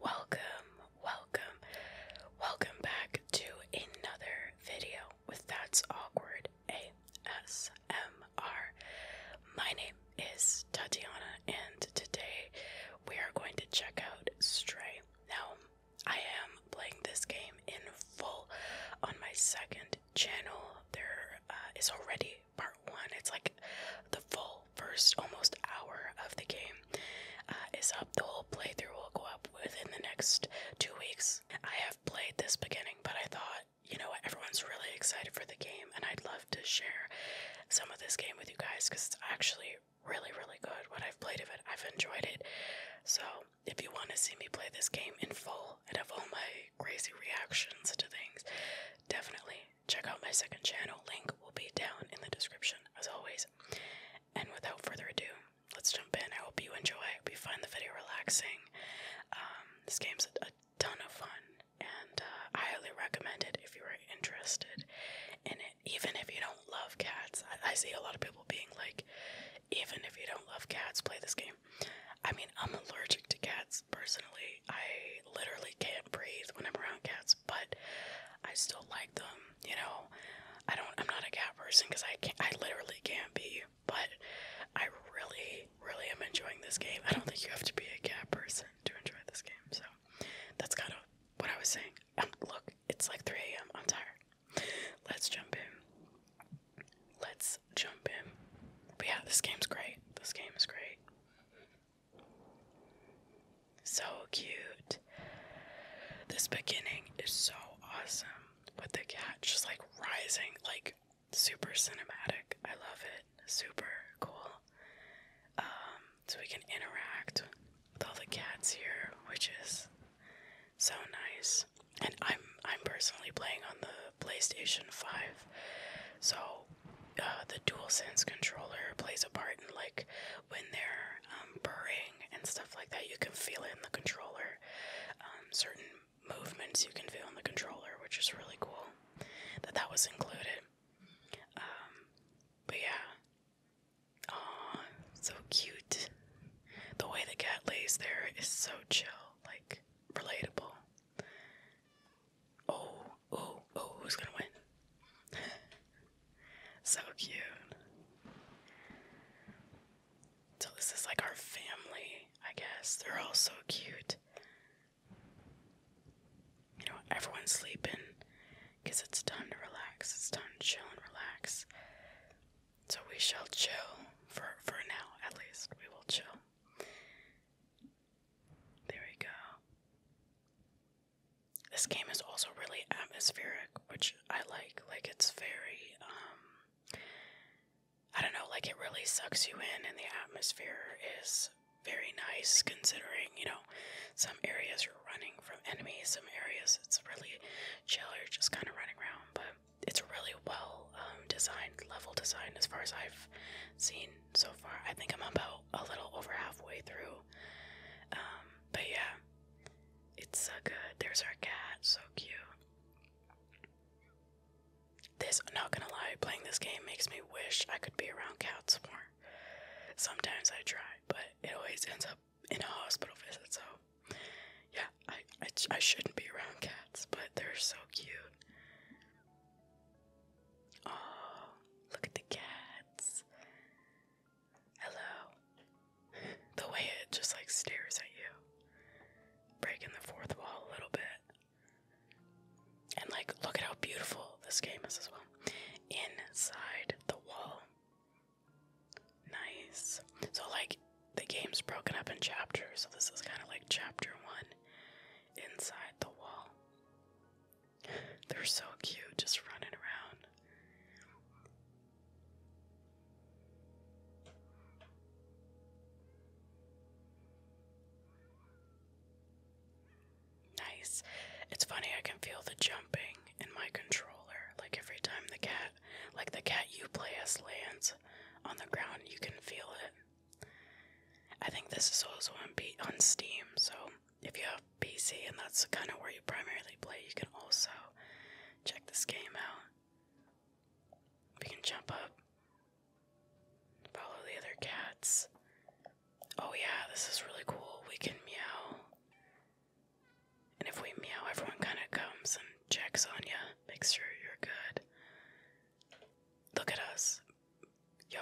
Welcome, welcome, welcome back to another video with That's Awkward ASMR. My name is Tatiana, and today we are going to check out Stray. Now, I am playing this game in full on my second channel. There uh, is already part one, it's like the full first almost hour of the game uh, is up. The whole playthrough will go up within the next two weeks. I have played this beginning, but I thought, you know everyone's really excited for the game, and I'd love to share some of this game with you guys because it's actually really, really good. What I've played of it, I've enjoyed it. So, if you want to see me play this game in full and have all my crazy reactions to things, definitely Check out my second channel, link will be down in the description as always. And without further ado, let's jump in. I hope you enjoy. We find the video relaxing. Um, this game's a, ton of fun, and uh, highly recommend it if you are interested in it. Even if you don't love cats, I see a lot of people being like, even if you don't love cats, play this game. I mean, I'm allergic to cats personally. I literally can't breathe when I'm around cats but I still like them. You know, I don't. I'm not a cat person because I can't. I literally can't be. But I really, really am enjoying this game. I don't think you have to be a cat person to enjoy this game. So that's kind of what I was saying. Um, look, it's like 3 a.m. I'm tired. Let's jump in. Let's jump in. But yeah, this game's great. This game is great. So cute. This beginning is so awesome with the cat just like rising, like super cinematic. I love it. Super cool. Um, so we can interact with all the cats here, which is so nice. And I'm I'm personally playing on the PlayStation 5. So uh, the sense controller plays a part in like when they're um, purring and stuff like that. You can feel it in the controller. Um, certain movements you can feel in the controller, which is really cool that that was included. Um, but yeah, oh, so cute. The way the cat lays there is so chill, like relatable. Oh, oh, oh, who's gonna win? So cute. So, this is like our family, I guess. They're all so cute. You know, everyone's sleeping because it's time to relax. It's time to chill and relax. So, we shall chill for, for now, at least. We will chill. There we go. This game is also really atmospheric, which I like. Like it's very um, I don't know, like it really sucks you in and the atmosphere is very nice considering, you know, some areas you're running from enemies, some areas it's really chill, you're just kind of running around, but it's a really well um, designed level design as far as I've seen so far. I think I'm about a little over halfway through um, but yeah, it's so good. There's our cat, so cute. This, not gonna lie, playing this game makes me wish I could be around cats more. Sometimes I try, but it always ends up in a hospital visit, so yeah, I, I, I shouldn't be around cats, but they're so cute. Oh, look at the cats. Hello. The way it just like stares at you, breaking the fourth wall a little bit. And like, look at how beautiful this game is as well. Inside the wall. Nice. So, like, the game's broken up in chapters, so this is kind of like chapter one inside the wall. They're so cute, just running around. Nice. It's funny, I can feel the jumping in my controller. Like every time the cat, like the cat you play as lands on the ground, you can feel it. I think this is also on, on Steam, so if you have PC and that's kind of where you primarily play, you can also check this game out. We can jump up, follow the other cats. Oh, yeah, this is really cool. We can meow. And if we meow, everyone kind of comes and checks on you, makes sure you're good. Look at us yo,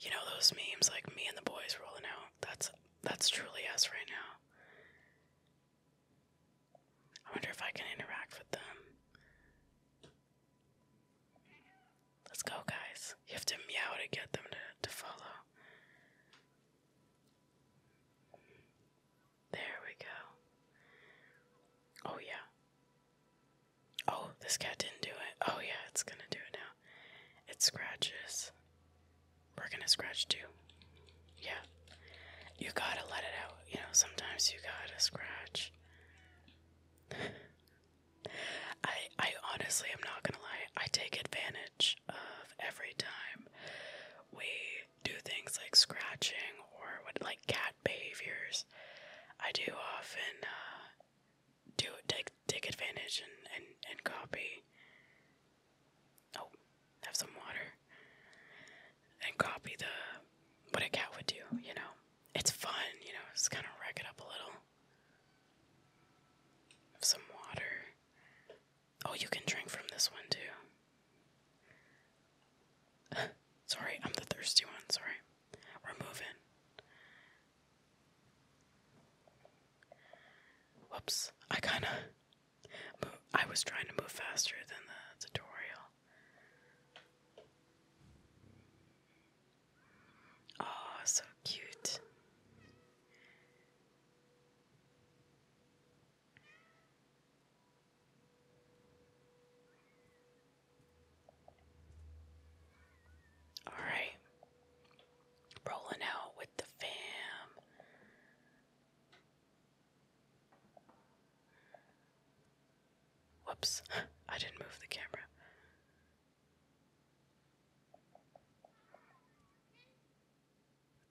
you know those memes like me and the boys rolling out? That's that's truly us right now. I wonder if I can interact with them. Let's go, guys. You have to meow to get them to, to follow. There we go. Oh, yeah. Oh, this cat didn't do it. Oh, yeah, it's gonna do it now. It scratches. We're gonna scratch too. Yeah. You gotta let it out. You know, sometimes you gotta scratch. I I honestly am not gonna lie, I take advantage of every time we do things like scratching or what like cat behaviors. I do often uh, do take take advantage and and, and copy. Oh, have some water and copy the what a cat would do. You know, it's fun. You know, just kind of rack it up a little. Have some water. Oh, you can drink from this one too. sorry, I'm the thirsty one. Sorry, we're moving. Whoops, I kind of. I was trying to move faster than the tutorial. Oh, so cute. All right. Rolling out with the fam. Whoops, I didn't move the camera.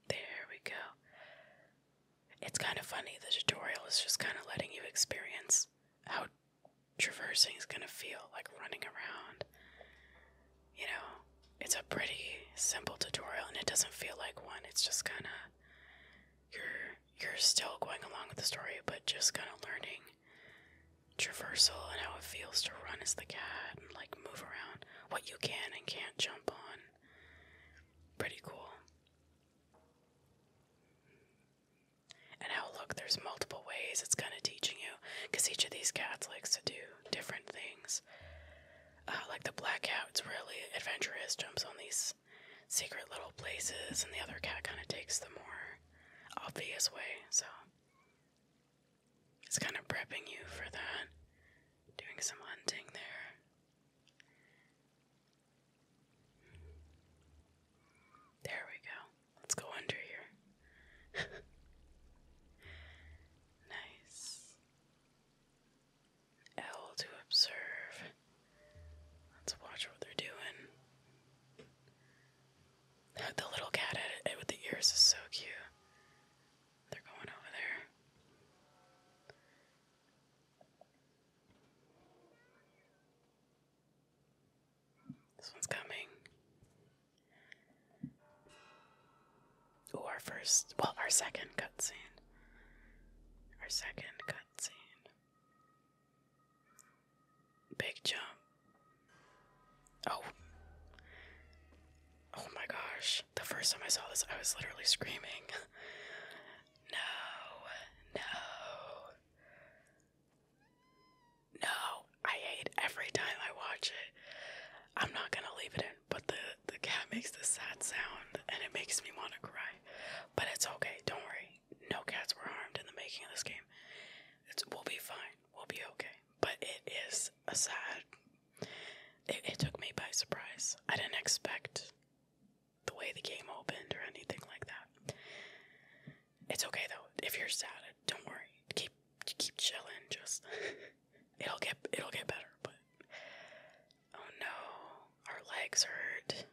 There we go. It's kind of funny, the tutorial is just kind of letting you experience how traversing is going to feel like running around. You know, it's a pretty simple tutorial and it doesn't feel like one. It's just kind of you're you're still going along with the story but just kind of learning traversal and how it feels to run as the cat and like move around what you can and can't jump on. Pretty cool. And how, look, there's multiple ways it's kind of teaching you, because each of these cats likes to do different things. Uh, like the black cat, it's really adventurous, jumps on these secret little places, and the other cat kind of takes the more obvious way. So it's kind of prepping you for that. Doing some hunting there. There we go. Let's go under here. nice. L to observe. Let's watch what they're doing. The little cat with the ears is so cute. They're going over there. This one's coming. Ooh, our first, well, our second cutscene. Our second cutscene. Big jump. Oh. Oh my gosh. The first time I saw this, I was literally screaming. no, no. No, I hate every time I watch it. I'm not gonna leave it in, but the the cat makes this sad sound and it makes me want to cry. But it's okay, don't worry. No cats were harmed in the making of this game. It's we'll be fine. We'll be okay. But it is a sad. It, it took me by surprise. I didn't expect the way the game opened or anything like that. It's okay though. If you're sad, don't worry. Keep keep chilling. Just it'll get it'll get better. But oh no, our legs hurt,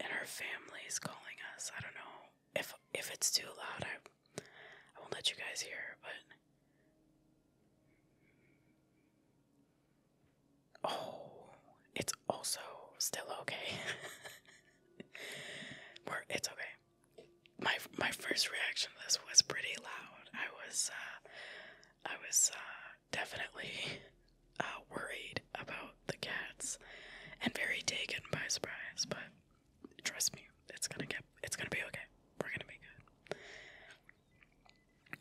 and our family's calling us. I don't know if if it's too loud. I I won't let you guys hear. But oh, it's also still okay. We're, it's okay my my first reaction to this was pretty loud. I was uh, I was uh, definitely uh, worried about the cats and very taken by surprise. But trust me, it's gonna get it's gonna be okay. We're gonna be good.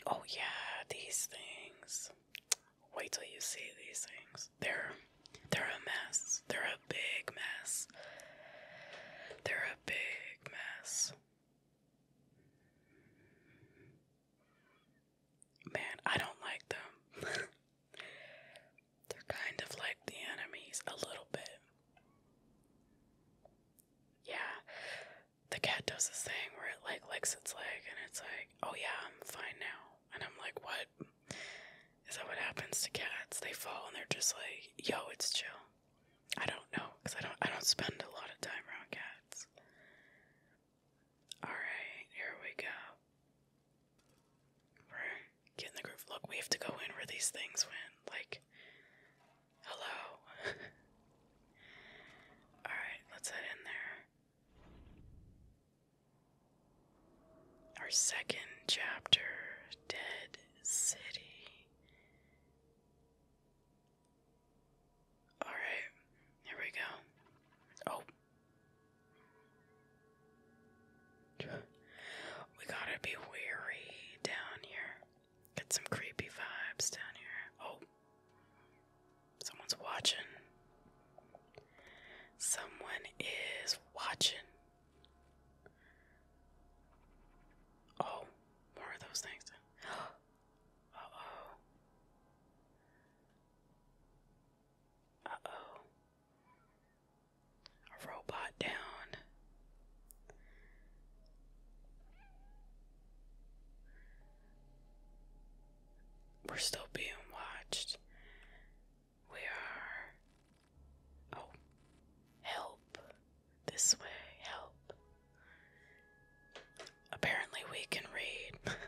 Oh yeah, these things. Wait till you see these things. They're they're a mess. They're a big mess. They're a big mess. Man, I don't like them. They're kind of like the enemies, a little bit. Yeah, the cat does this thing where it like licks its leg, and it's like, oh yeah, I'm fine now. And I'm like, what? Is that what happens to cats? They fall and they're just like, yo, it's chill. I don't know, cause I don't I don't spend a lot of time around cats. Alright, here we go. We're getting the groove. Look, we have to go in where these things went. Like hello. Alright, let's head in there. Our second chapter, Dead City. Alright, here we go. Oh. We gotta be wary down here. Get some creepy vibes down here. Oh. Someone's watching. Someone is watching. Oh, more of those things. uh oh. Uh oh. robot down. We're still being watched. We are Oh, help. This way, help. Apparently, we can read.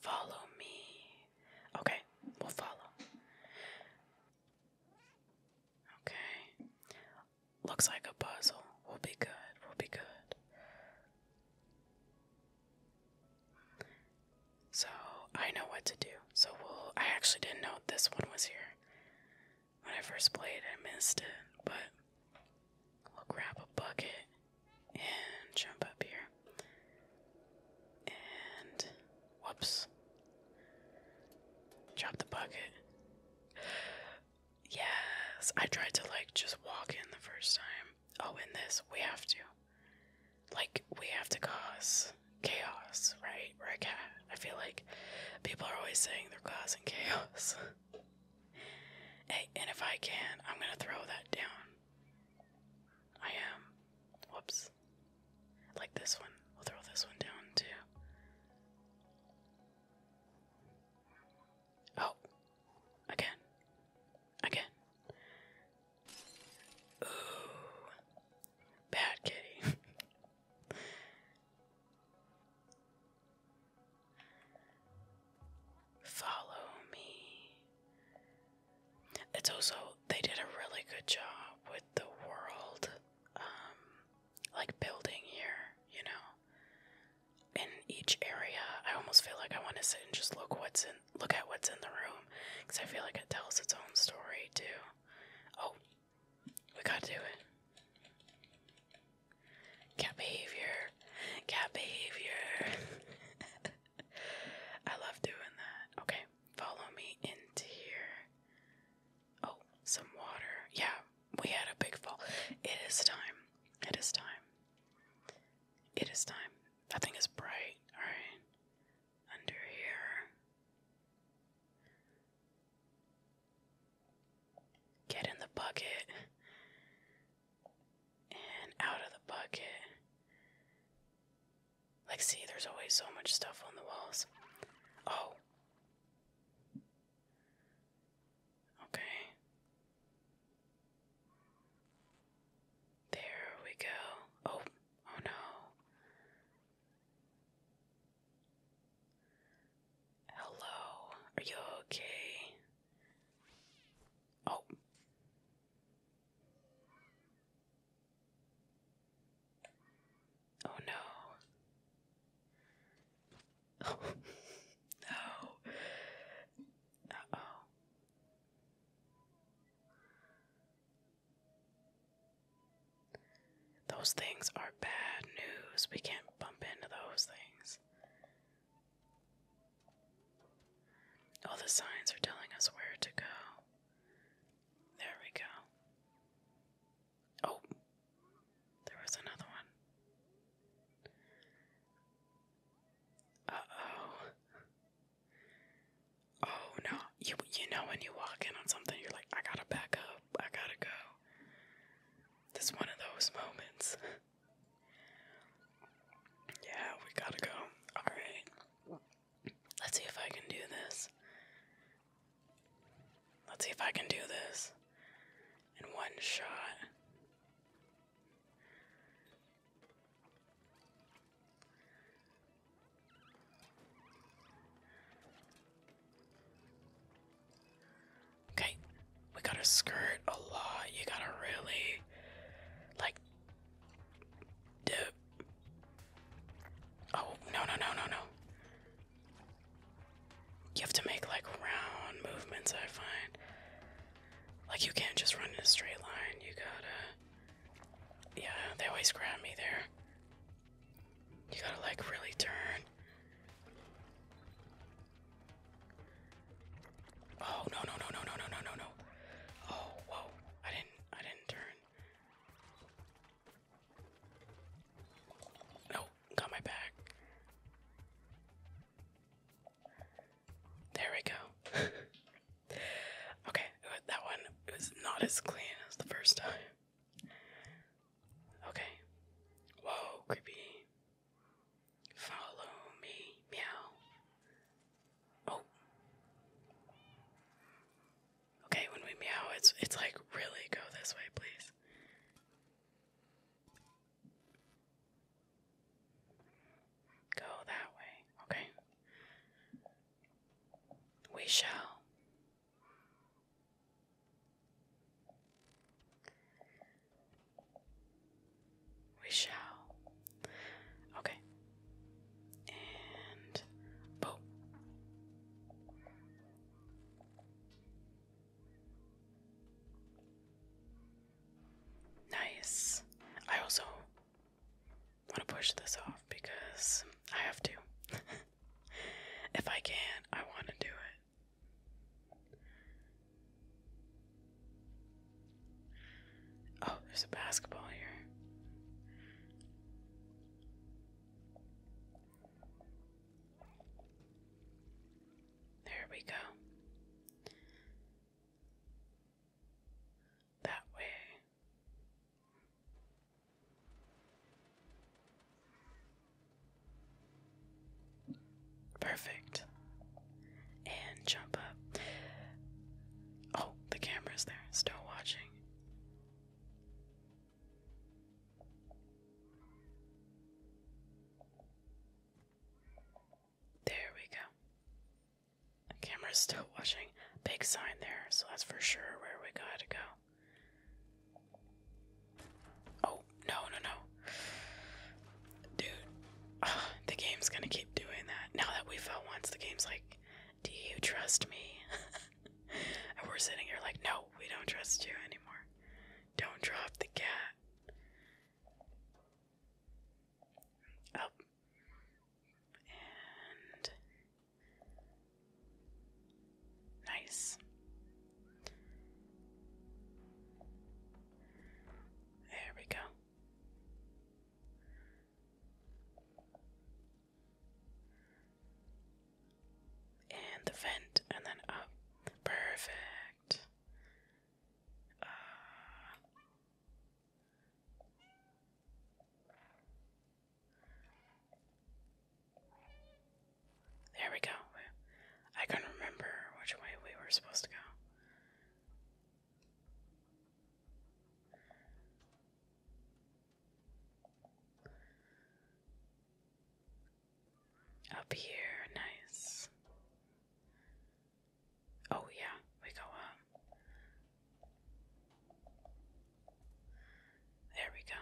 Follow me. Okay, we'll follow. Okay. Looks like a puzzle. We'll be good. We'll be good. So, I know what to do. So, we'll. I actually didn't know this one was here. When I first played, I missed it. But, we'll grab a bucket and jump up here. And whoops. Drop the bucket. Yes, I tried to like just walk in the first time. Oh, in this, we have to. Like, we have to cause chaos, right? Or I feel like people are always saying they're causing chaos. and if I can, I'm gonna throw that down. I am. Whoops. Like this one. We'll throw this one down too. Oh. Again. Again. Ooh. Bad kitty. Follow me. It's also they did a really good job with the world, um, like building here, you know. In each area, I almost feel like I want to sit and just look what's in, look at what's in the room, because I feel like it tells its own story too. Oh, we gotta do it. Cat behavior, cat behavior. I love doing that. Okay follow me into here. Oh, some water. Yeah, we had a big fall. It is time. It is time. It is time. That is bright. Alright. Under here. Get in the bucket. And out of the bucket. Like, see, there's always so much stuff on the walls. Oh. Okay. There we go. Oh, oh no. Hello, are you okay? Oh. Oh no. Oh no. Uh oh. Those things are bad news. We can't bump into those things. All the signs are telling us where to go. There we go. Oh, there was another one. Uh oh. Oh no. You you know when you walk in on something you're like, I gotta back up, I gotta go. This one of those moments. yeah, we gotta go. Alright. Let's see if I can do this. Let's see if I can do this in one shot. Okay, we gotta skirt a lot. You gotta really, like, dip, Oh, no, no, no, no, no. You have to make like round movements, I find. Like, you can't just run in a straight line. You gotta. Yeah, they always grab me there. You gotta, like, really turn. Oh, no, no, no, no, no, no, no, no, no. Oh, whoa. I didn't. I didn't turn. No, got my back. There we go. okay, uh, that one was not as clean as the first time. Okay. Whoa, creepy. Follow me, meow. Oh. Okay, when we meow, it's it's like really go this way, please. Go that way. Okay. We shall. We shall. Okay. And boom. Nice. I also want to push this off because I have to. if I can, I want to do it. Oh, there's a basketball here. There we go. That way. Perfect. And jump up. Oh, the camera's there, still watching. There we go. The camera's still watching. Big sign there, so that's for sure where we gotta go. Oh, no, no, no. Dude, the game's gonna keep doing that. Now that we fell once, the game's like, do you trust me? and we're sitting here like, no, we don't trust you anymore. Don't drop the cat. Up. Oh. And. Nice. There we go. And the vent, and then up. Perfect. Uh, there we go. I can not remember which way we were supposed to go. Up here, nice. Oh, yeah, we go up. There we go.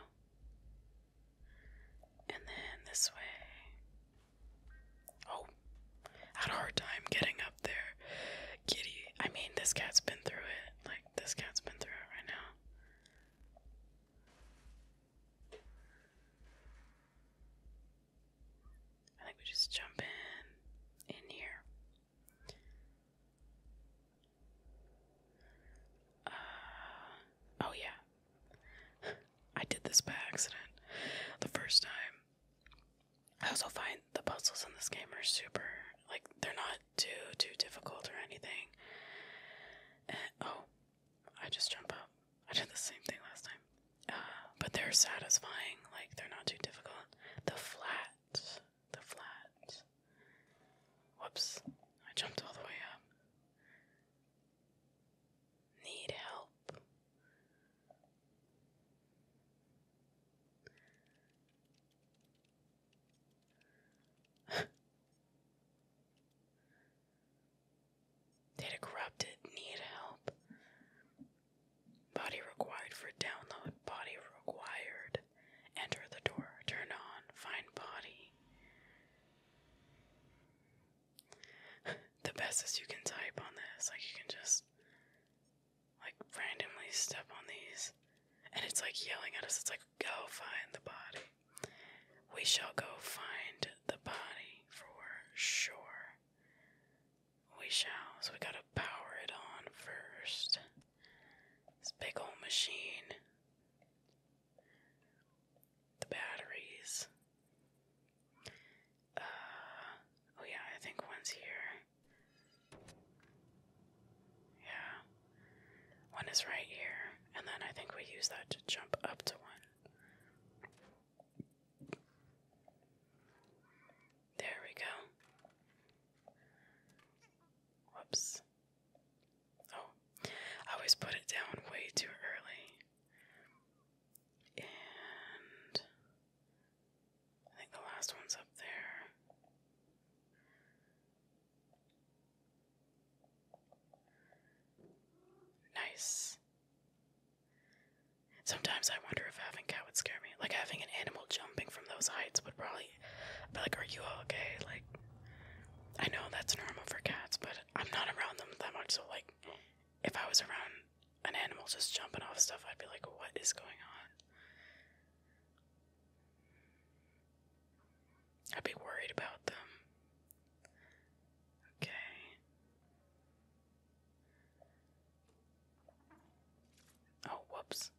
And then this way. Oh, had a hard time getting there. Kitty, I mean, this cat's been through it. Like, this cat's been through it right now. I think we just jump in in here. Uh, oh yeah. I did this by accident the first time. I also find the puzzles in this game are super like they're not too too difficult or anything. oh, I just jump up. I did the same thing last time. Uh, but they're satisfying. Like they're not too difficult. The flat, the flat. Whoops! I jumped all the way up. Need help. Data corrupted, need help. Body required for download, body required. Enter the door, turn on, find body. the best is you can type on this, like you can just like randomly step on these. And it's like yelling at us. It's like, go find the body. We shall go find the body for sure. We shall. So we gotta power it on first. This big old machine. The batteries. Uh, oh yeah, I think one's here. Yeah. One is right here, and then I think we use that to jump up to one. There we go. Whoops. Oh, I always put it down way too early. And I think the last one's up there. Nice. Sometimes I wonder if having cat would scare me. Like having an animal jumping from those heights would probably be like, "Are you okay?" Like, I know that's normal for cats, but I'm not around them that much. So like, if I was around an animal just jumping off stuff, I'd be like, what is going on? I'd be worried about them. Okay. Oh, whoops.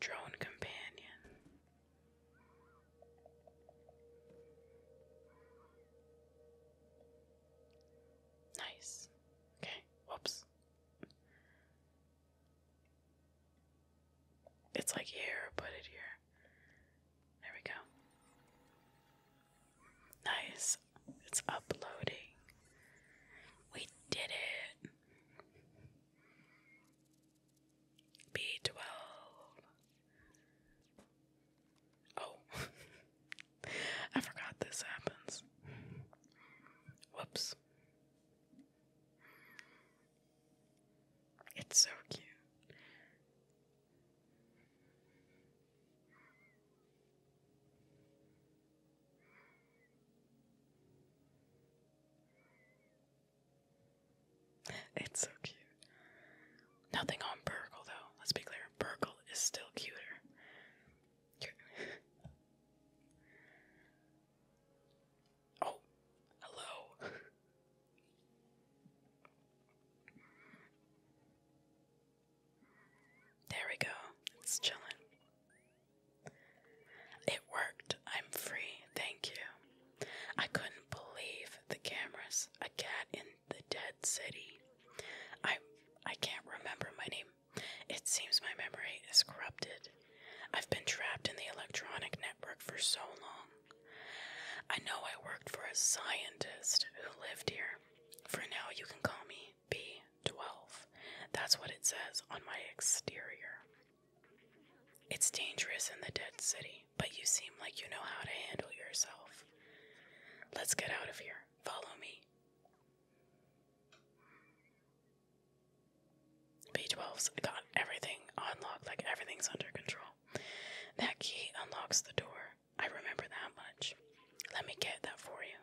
Drone companion. Nice. Okay, whoops. It's like here, put it here. There we go. Nice. It's uploading. We did it. B12. Oh, I forgot this happens. Whoops. It's so cute. It's so cute. Nothing on Burgle, though. Let's be clear. Burgle is still cuter. oh, hello. there we go. It's chilling. It worked. I'm free. Thank you. I couldn't believe the cameras. A cat in the dead city. I I can't remember my name. It seems my memory is corrupted. I've been trapped in the electronic network for so long. I know I worked for a scientist who lived here. For now, you can call me B12. That's what it says on my exterior. It's dangerous in the dead city but you seem like you know how to handle yourself. Let's get out of here. Follow me. B12's got everything unlocked, like everything's under control. That key unlocks the door. I remember that much. Let me get that for you.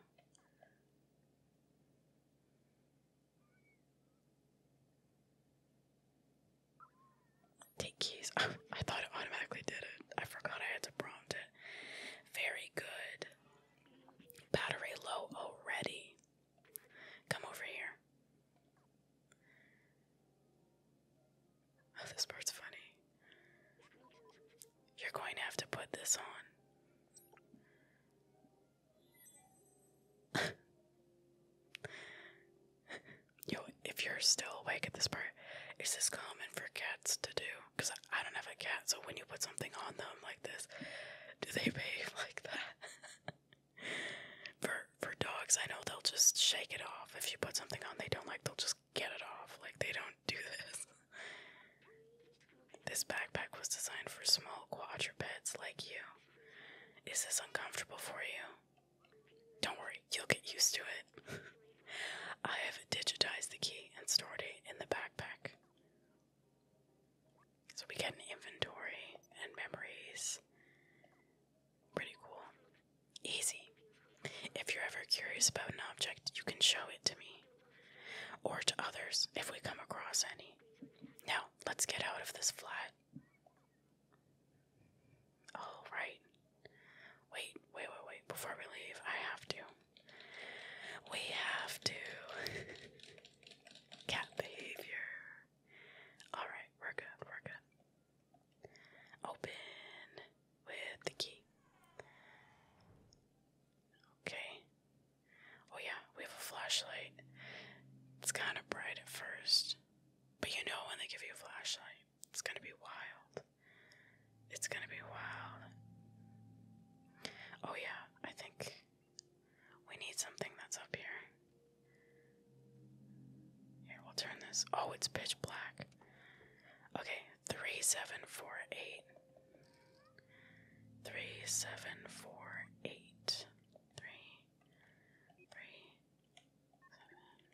Take keys. I, thought it automatically did it. I forgot I had to prompt it. Very good. Battery low already. Come over here. Oh, this part's funny. You're going to have to put this on. yo, if you're still awake at this part, is this common for cats to do? Because I, don't have a cat, so when you put something on them like this, do they behave like that? for for dogs, I know they'll just shake it off. If you put something on they don't like, they'll just get it off. Like they don't do this. This backpack was designed for small quadrupeds like you. Is this uncomfortable for you? Don't worry, you'll get used to it. I have digitized the key and stored it in the backpack. So we get an inventory and memories. Pretty cool. Easy. If you're ever curious about an object, you can show it to me or to others if we come across any. Now, let's get out of this flat. Oh, Wait, wait, wait, wait. Before we leave, I have to. We have to. Cat behavior. Alright, we're good, we're good. Open with the key. Okay. Oh, yeah, we have a flashlight. It's kind of bright at first. But you know when they give you a flashlight, it's gonna be wild. It's gonna be wild. Oh, yeah, I think we need something that's up here. Here, we'll turn this. Oh, it's pitch black. Okay, 3748. 3748. 3,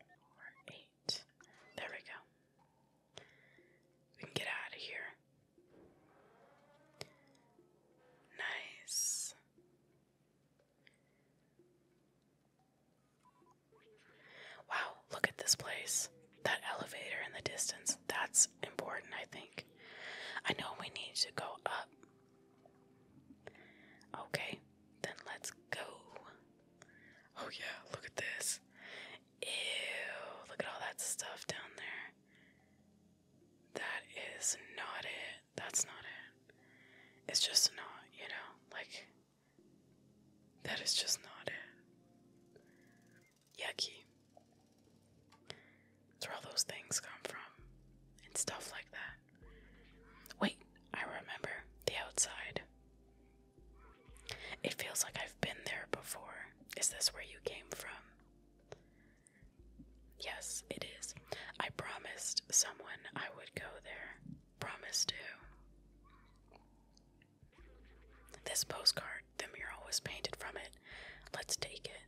seven, four, eight. There we go. We can get out of here. Nice. Wow, look at this place. That elevator in the distance, that's important, I think. I know we need to go up. Okay, then let's go. Oh yeah, look at this. Ew, look at all that stuff down there. That is not it. That's not it. It's just not, you know, like that is just not it. Yucky. That's where all those things come from. And stuff like that. Wait, I remember the outside. It feels like I've been there before. Is this where you came from? Yes, it is. I promised someone I would go there. Promise to. This postcard, the mural was painted from it. Let's take it.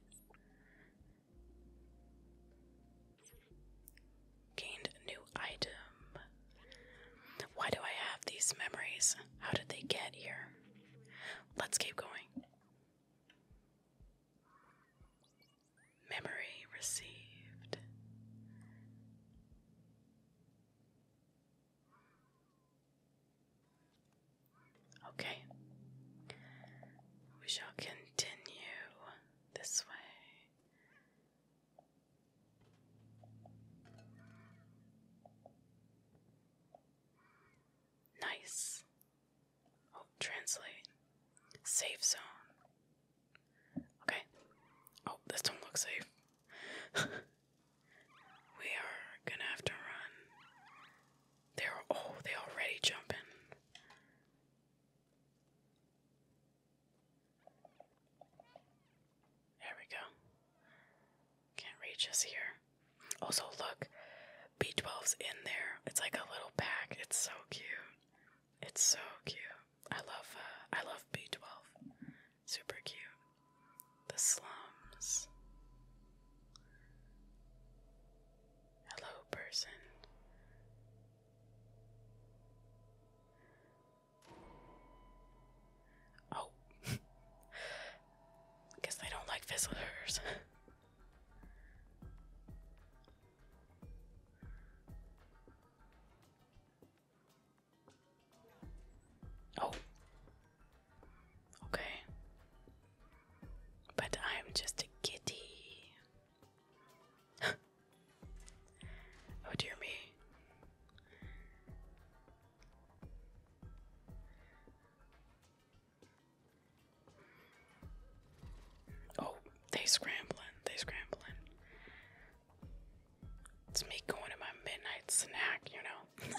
Gained new item. Why do I have these memories? How did they get here? Let's keep going. Memory received. Okay. We shall continue this way. Nice. Oh, translate. Safe zone. Okay. Oh, this don't safe. we are gonna have to run. They're oh, they already jumping. There we go. Can't reach us here. Also, look, B12's in there. It's like a little pack. It's so cute. It's so cute. I love, uh, I love B12. Super cute. The slums. Hello, person. Oh. Guess they don't like visitors. oh. Okay. But I'm just a kitty. Oh dear me. Oh, they scrambling, they are scrambling. It's me going to my midnight snack, you know.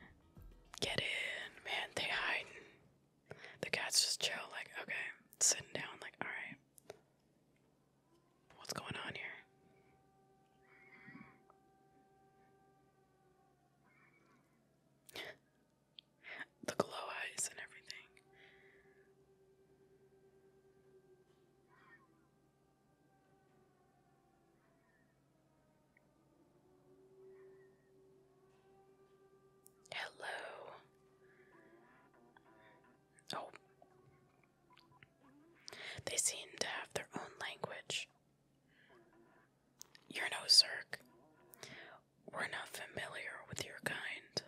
Get in, man, they hiding. The cat's just chill, like, okay, sitting down, like, alright. What's going on here? the glow eyes and everything. Hello. Oh, they seem to have their own language. You're no Zerk. We're not familiar with your kind.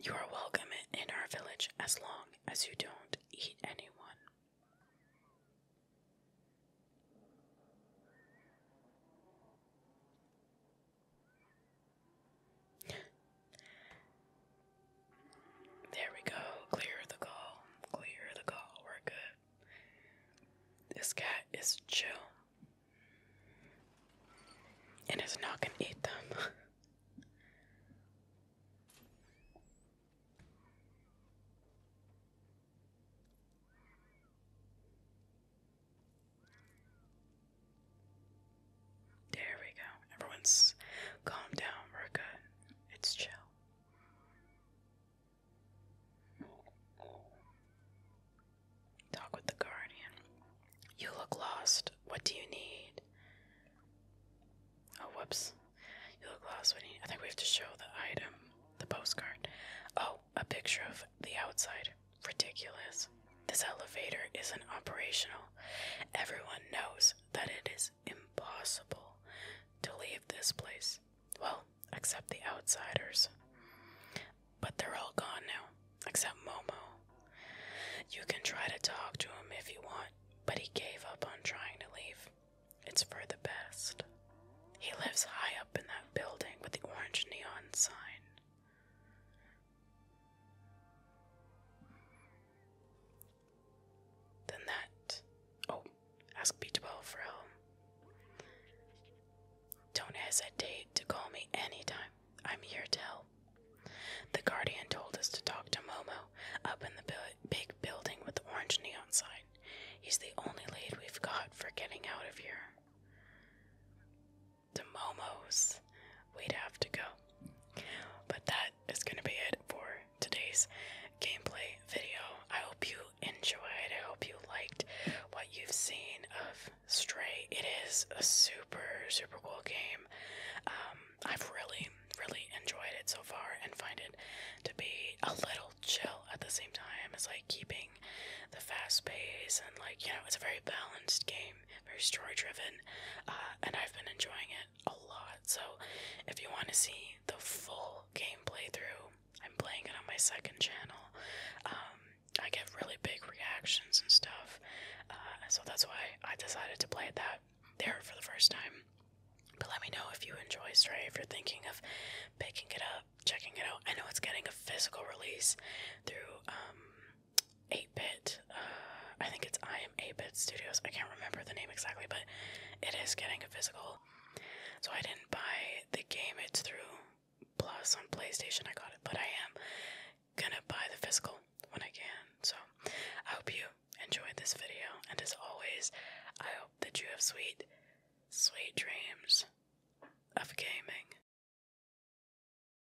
You are welcome in our village as long as you don't eat anyone. There we go. Clear the call. Clear the call. We're good. This cat is chill. And it's not gonna eat them. There we go. Everyone's calm down. We're good. It's chill. Talk with the guardian. You look lost. What do you need? Oh, whoops. You look lost. What do you need? I think we have to show the item, the postcard. Oh, a picture of the outside ridiculous. This elevator isn't operational. Everyone knows that it is impossible to leave this place. Well, except the outsiders. But they're all gone now, except Momo. You can try to talk to him if you want, but he gave up on trying to leave. It's for the best. He lives high up in that building with the orange neon sign. Then that. Oh, ask B12 for help. Don't hesitate to call me anytime. I'm here to help. The guardian told us to talk to Momo up in the big building with the orange neon sign. He's the only lead we've got for getting out of here to Momo's, we'd have to go. But that is going to be it for today's gameplay video. I hope you enjoyed. I hope you liked what you've seen of Stray. It is a super, super cool game. Um, I've really, really enjoyed it so far and find it to be a little chill at the same time. as like keeping the fast pace and, like, you know, it's a very balanced game very story driven, uh, and I've been enjoying it a lot. So, if you want to see the full game through, I'm playing it on my second channel. Um, I get really big reactions and stuff, uh, so that's why I decided to play that there for the first time. But let me know if you enjoy story. if you're thinking of picking it up, checking it out. I know it's getting a physical release through um, 8-Bit. Uh, I think it's I am 8-Bit Studios. I can't remember the name exactly, but it is getting a physical. So I didn't buy the game. It's through Plus on PlayStation. I got it, but I am gonna buy the physical when I can. So I hope you enjoyed this video, and as always, I hope that you have sweet, sweet dreams of gaming.